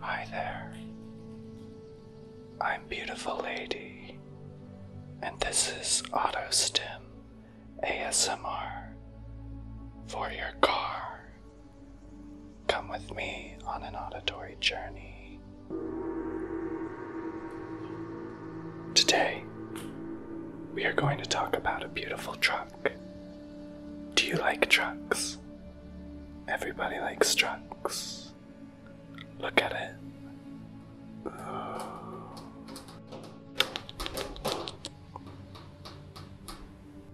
Hi there. I'm Beautiful Lady, and this is Auto Stim ASMR for your car. Come with me on an auditory journey. Today, we are going to talk about a beautiful truck. Do you like trucks? Everybody likes trucks. Look at it.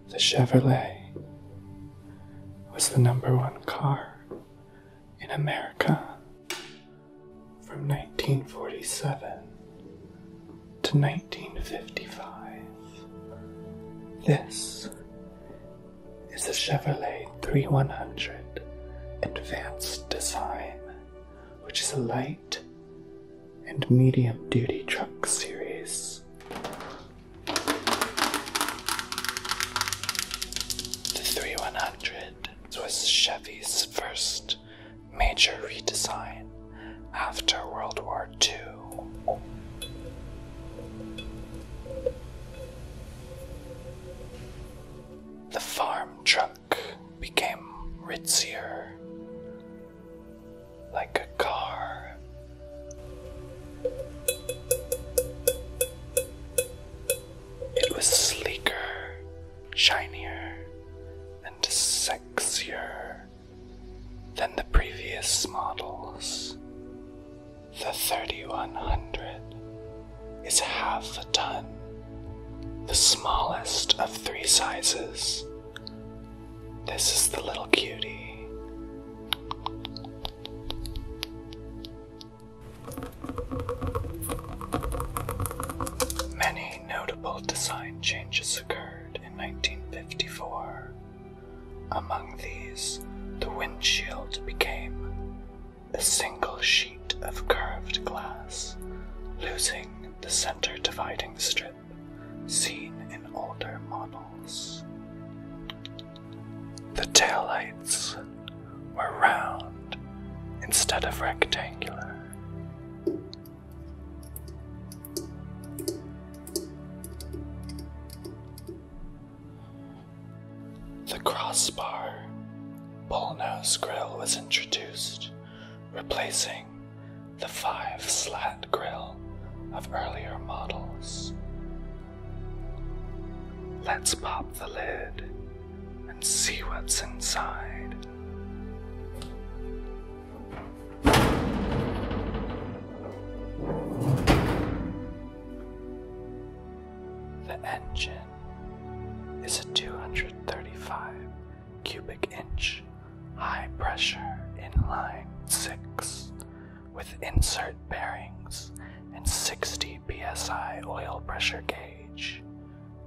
The Chevrolet was the number one car in America from 1947 to 1955. This is a Chevrolet 3100 Advanced Design, which is a light and medium duty truck series. The 3100 it was Chevy's first major redesign after World War II. The farm truck became ritzier, like a car. It was sleeker, shinier, and sexier than the previous models. The 3100 is half a ton, the smallest of three sizes. This is the little cutie. Many notable design changes occurred in 1954. Among these, the windshield became a single sheet of curved glass, losing the center dividing strip seen in older models. The taillights were round instead of rectangular. The crossbar bullnose grille was introduced, replacing the five slat grille of earlier models. Let's pop the lid and see what's inside. The engine is a 235 cubic inch high pressure inline 6 with insert bearings and 60 psi oil pressure gauge.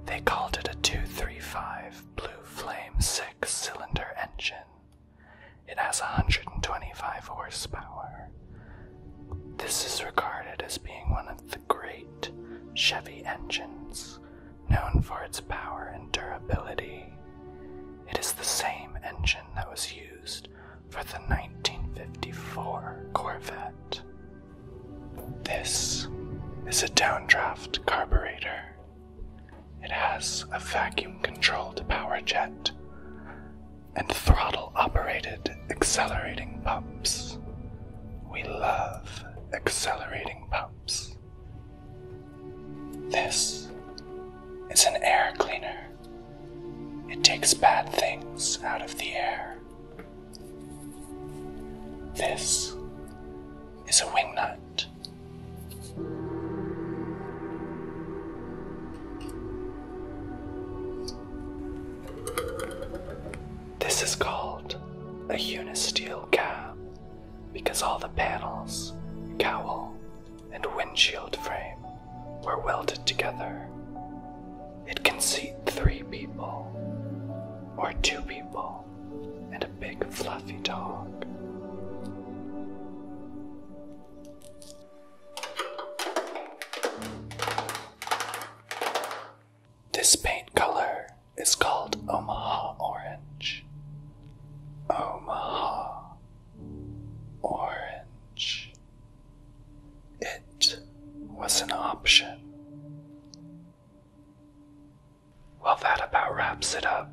They called it a 235 Blue Flame 6 cylinder engine. It has 125 horsepower. This is regarded as being one of the great Chevy engines, known for its power and durability. It is the same engine that was used for the 1954 Corvette. This is a downdraft carburetor. It has a vacuum controlled power jet and throttle operated accelerating pumps. We love accelerating pumps. This is an air cleaner. It takes bad things out of the air. This is a wingnut. This is called a unisteel cap because all the panels, cowl, and windshield frame were welded together. It can seat three people, or two people, and a big fluffy dog. This paint color it's called Omaha Orange. Omaha Orange. It was an option. Well, that about wraps it up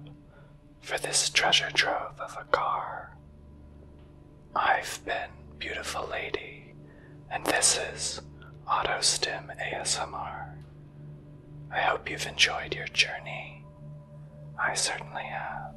for this treasure trove of a car. I've been Beautiful Lady, and this is Auto AutoStim ASMR. I hope you've enjoyed your journey. I certainly have.